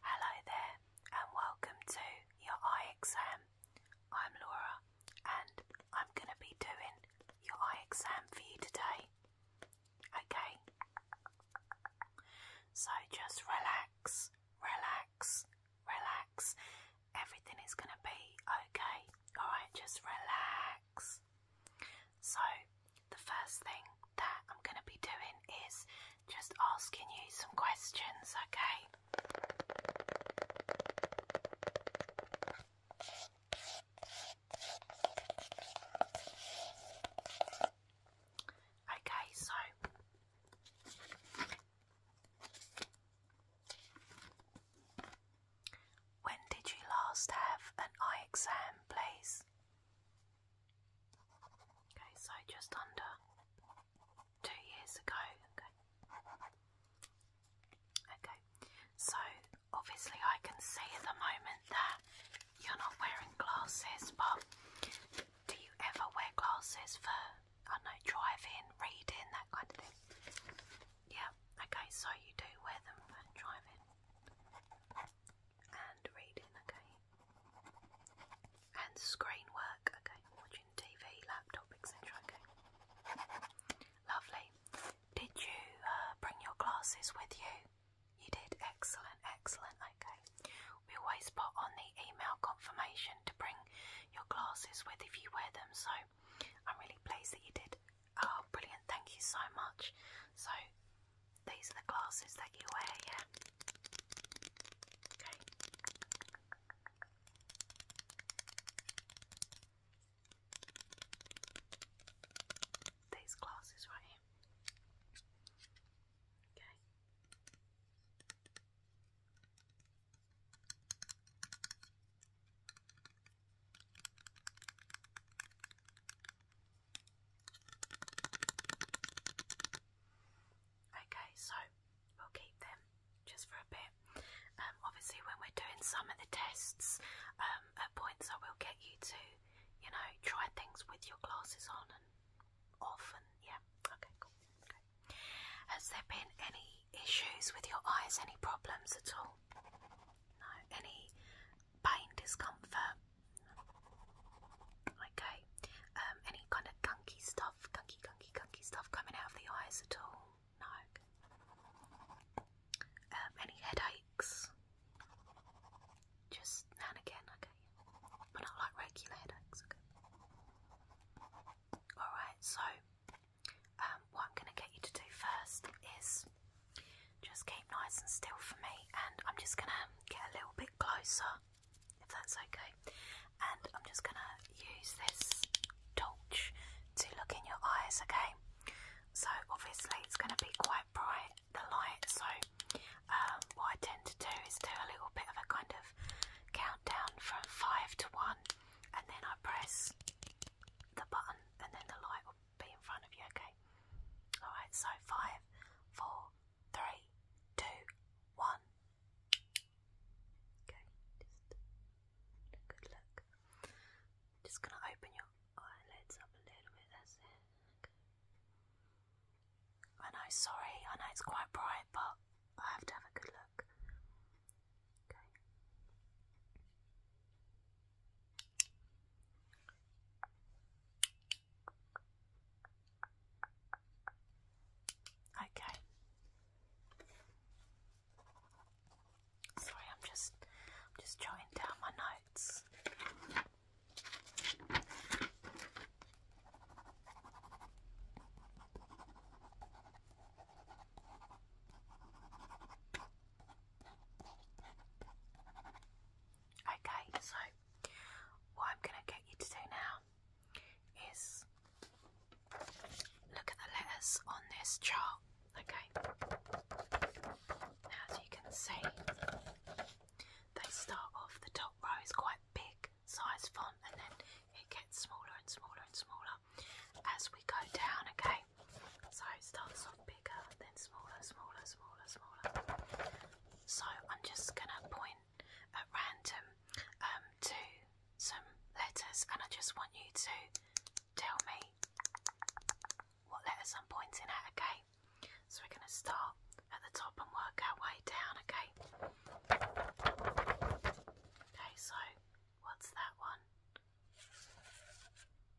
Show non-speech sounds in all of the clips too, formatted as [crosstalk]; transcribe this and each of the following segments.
Hello there, and welcome to your eye exam. I'm Laura, and I'm going to be doing your eye exam for you today. Okay? So just relax, relax, relax. Everything is going to be okay. Alright, just relax. So, the first thing that I'm going to be doing is just asking you some questions, okay? Okay, so when did you last have an eye exam, please? Okay, so just under two years ago. Okay. so obviously I can see at the moment that you're not wearing glasses, but do you ever wear glasses for I know driving, reading, that kind of thing? Yeah. Okay, so you do wear them for driving and reading, okay? And screen work, okay? Watching TV, laptop, etc., okay? Lovely. Did you uh, bring your glasses with you? You did. Excellent, excellent, okay. We always put on the email confirmation to bring your glasses with if you wear them, so I'm really pleased that you did. Oh, brilliant, thank you so much. So, these are the glasses that you wear, yeah? Okay. These glasses right here. Okay. Okay, so we'll keep them just for a bit. Um, obviously, when we're doing some of the tests, um, at points I will get you to, you know, try things with your glasses on and off, yeah, okay, cool. Okay. Has there been any issues with your eyes? Any problems at all? No. Any pain, discomfort? Okay. Um, any kind of gunky stuff, gunky, gunky, gunky stuff coming out of the eyes at all? No. Um, any headaches? Just now and again, okay. But not like regular headaches, okay. Alright, so um, what I'm going to get you to do first is just keep nice and still for me, and I'm just going to get a little bit closer if that's okay. And I'm just going to use this torch to look in your eyes, okay? So obviously it's going to be quite bright, the light, so um, what I tend to do is do a little bit of a kind of countdown from 5 to 1 and then I press the button and then the light will be in front of you, okay? Alright, so 5, 4, three, two, one. Okay, just a good look. Just gonna open your eyelids up a little bit, that's it. Okay. I know, sorry, I know it's quite bright, but I have to have a good look. Okay. Okay. Sorry, I'm just just jotting down my notes. Okay, so what I'm going to get you to do now is look at the letters on this chart. Okay, now as you can see, they start off the top row is quite big size font, and then it gets smaller and smaller and smaller as we go down. Okay, so it starts off bigger, then smaller, smaller, smaller, smaller, so I'm just going to point at random um, to some letters and I just want you to tell me what letters I'm pointing at, okay? So we're going to start at the top and work our way down, okay? Okay, so what's that one?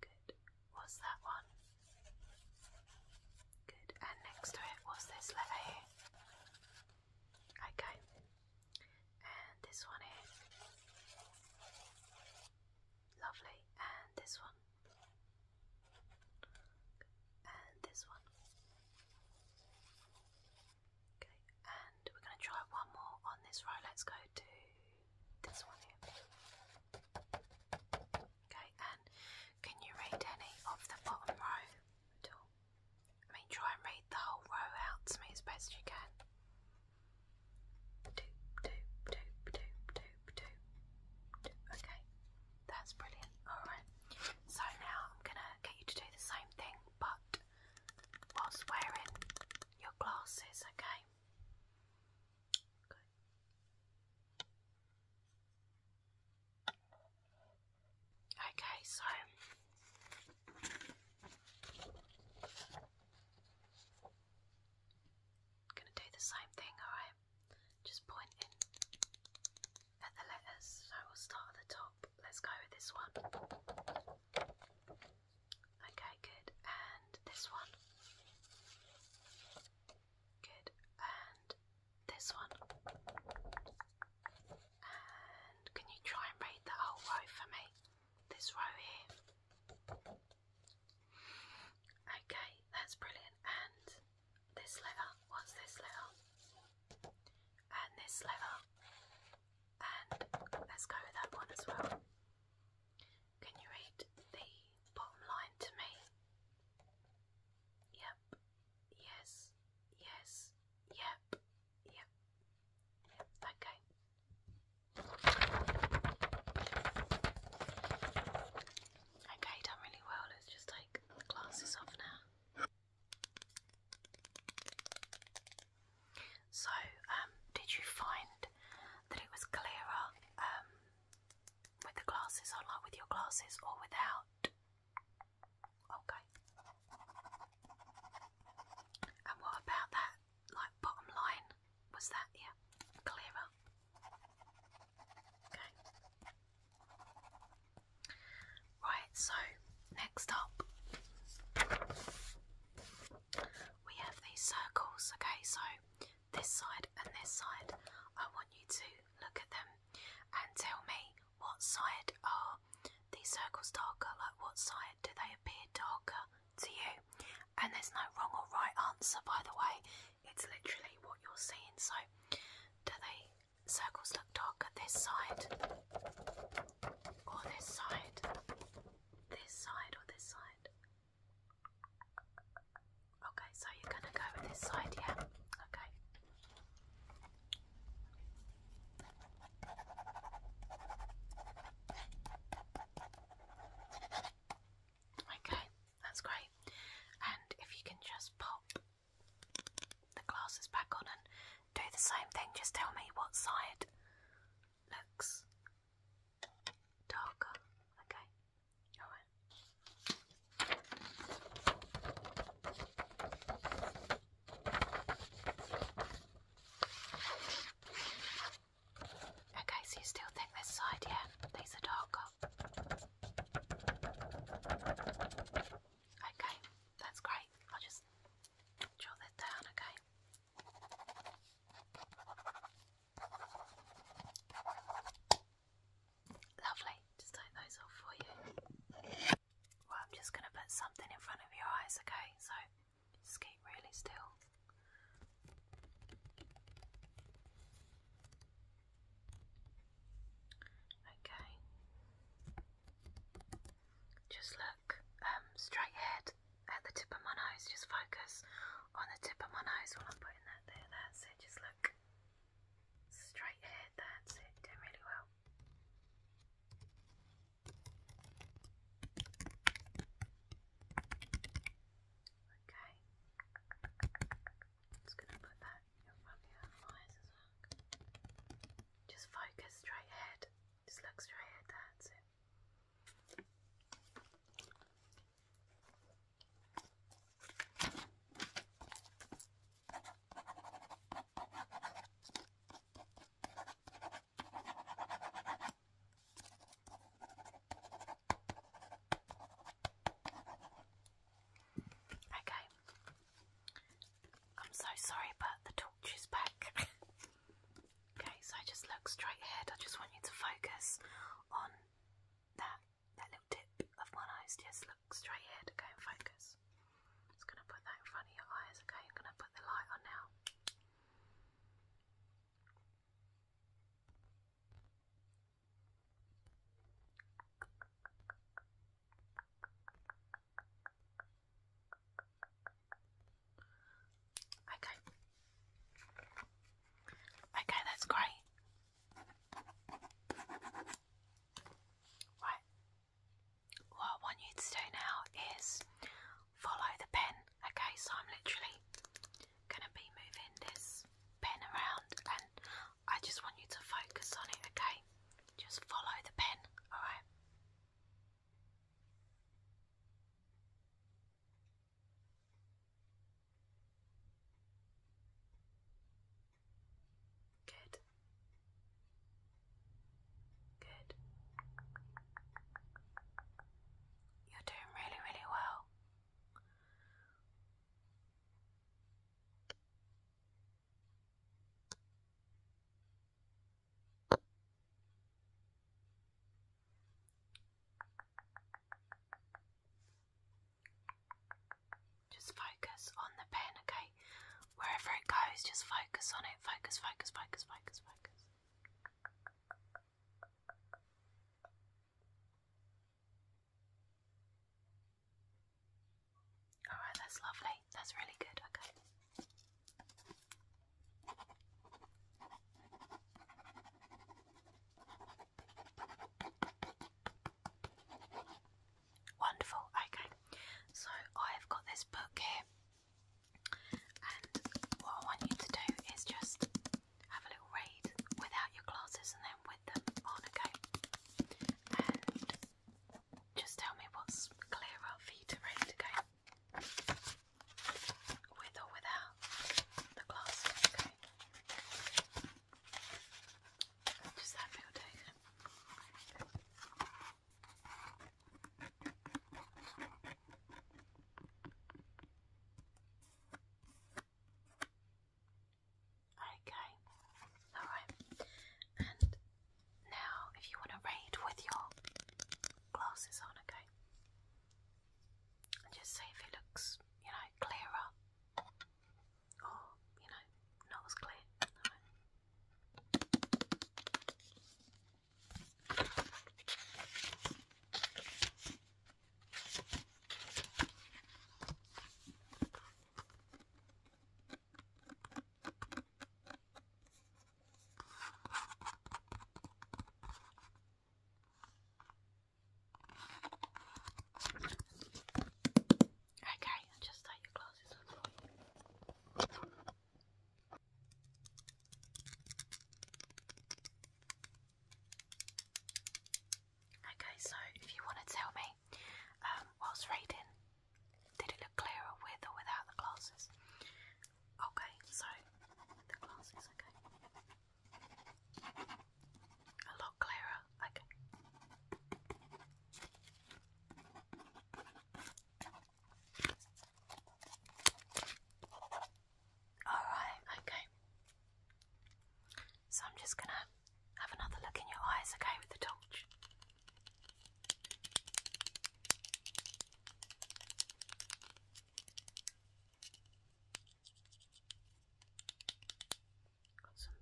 Good. What's that one? Good, and next to it was this lever here. Okay, and this one here. Lovely, and this one. And this one. Okay, and we're going to try one more on this row. Let's go to this one here. Okay, and can you read any of the bottom row at all? I mean, try and read the whole row out to me as best you can. Doop, doop, doop, doop, doop, doop. Okay, that's brilliant. Alright, so now I'm gonna get you to do the same thing, but whilst wearing your glasses, okay? Good. Okay, so I'm going to do the same thing, alright? Just pointing at the letters. So we'll start at the top. Let's go with this one. Okay, good. And this one. Good. And this one. And can you try and read the whole row for me? This row here. Okay, that's brilliant. And this letter, what's this letter? And this letter. And let's go with that one as well. Can you read the bottom line to me? Yep. Yes. Yes. Yep. Yep. Okay. Okay, done really well. Let's just take the glasses off now. So, um, did you find that it was clearer um, with the glasses on, like with your glasses, or without? Okay. And what about that, like bottom line? Was that, yeah, clearer? Okay. Right, so next up we have these circles. Okay, so this side and this side. I want you to look at them and tell me what side are these circles darker? Like what side do they appear darker to you? And there's no wrong or right answer, by the way. It's literally what you're seeing. So, do the circles look darker this side or this side? This side or this side? Okay, so you're going to go with this side, yeah? Okay. Okay, that's great. And if you can just pop the glasses back on and do the same thing, just tell me what side looks darker. Okay. Okay, so you still think this side, yeah? These are darker. Okay, that's great. I'll just draw that down, Okay, Lovely, just take those off for you. Well, I'm just going to put something in front of your eyes, okay? So just keep really still. Okay. Just look um, straight ahead at the tip of my nose. Just focus on the tip of my nose while I'm putting that there. That's Just look. Straight ahead, that's it, doing really well. Okay. Just gonna put that in front of your eyes as well. Just focus straight ahead. Just look straight ahead, that's Okay, I'm so sorry, but the torch is back. [laughs] okay, so I just look straight ahead. I just want you to focus on that that little tip of one eye just look straight here to go and focus. just going to put that in front of your eyes, okay? I'm going to put the light on now. Okay. Okay, that's great. Right. What I want you to do now is follow the pen, okay? So I'm literally going to be moving this pen around and I just want you to focus on it, okay? Just follow the pen, alright? Good. Good. You're doing really, really well. Just focus on the pen, okay? Wherever it goes, just focus on it. Focus, focus, focus, focus, focus. Alright, that's lovely. That's really good, okay. Wonderful. Okay, so I've got this book here, and what I want you to do is just have a little read without your glasses and then with them on. Okay, and just tell me what's clearer for you to read. Okay, with or without the glasses. Okay. Just Okay, alright. And now, if you want to read with your glasses on, okay? just see if it looks, you know, clearer or, oh, you know, nose clear. Okay, i just take your glasses off for you. Okay, so if you want to tell me, um, whilst reading, did it look clearer with or without the glasses? Okay, so the glasses, okay. A lot clearer. Okay. Alright, okay. So I'm just going to have another look in your eyes, okay, with the torch. Got some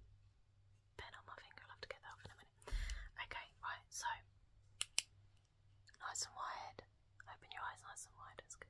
pen on my finger, I'll have to get that off in a minute. Okay, right, so nice and wide. Open your eyes nice and wide, it's good.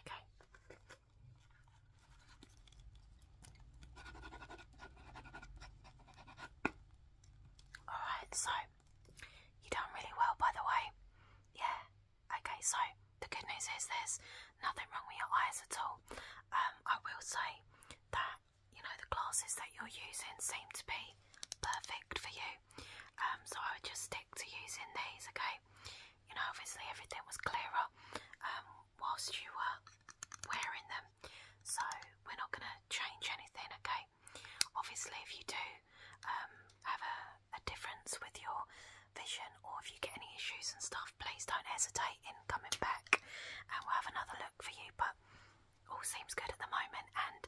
Okay. Alright, so you done really well by the way. Yeah. Okay, so the good news is there's nothing wrong with your eyes at all. Um, I will say that you know the glasses that you're using seem to be perfect for you. Um, so I would just to using these, okay? You know, obviously everything was clearer um, whilst you were wearing them, so we're not going to change anything, okay? Obviously, if you do um, have a difference with your vision or if you get any issues and stuff, please don't hesitate in coming back and we'll have another look for you. But all seems good at the moment, and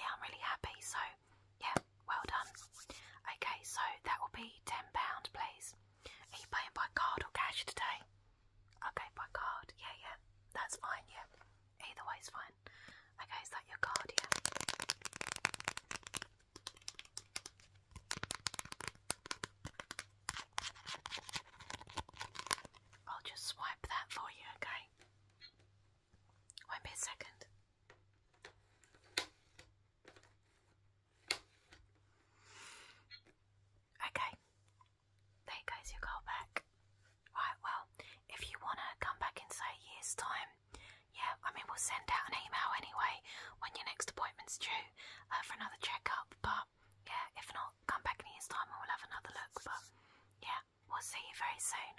yeah, I'm really happy. So yeah, well done. Okay, so that will be ten pound, please. Are you paying by card or cash today? Okay, by card. Yeah, yeah, that's fine. Yeah, either is fine. Okay, is that your card? Yeah. I'll just swipe that for you, okay? Won't be a second. Okay, there you goes your call back. Right, well, if you want to come back in, say, a year's time, yeah, I mean, we'll send out an email anyway when your next appointment's due uh, for another checkup, but yeah, if not, come back in a year's time and we'll have another look, but yeah, we'll see you very soon.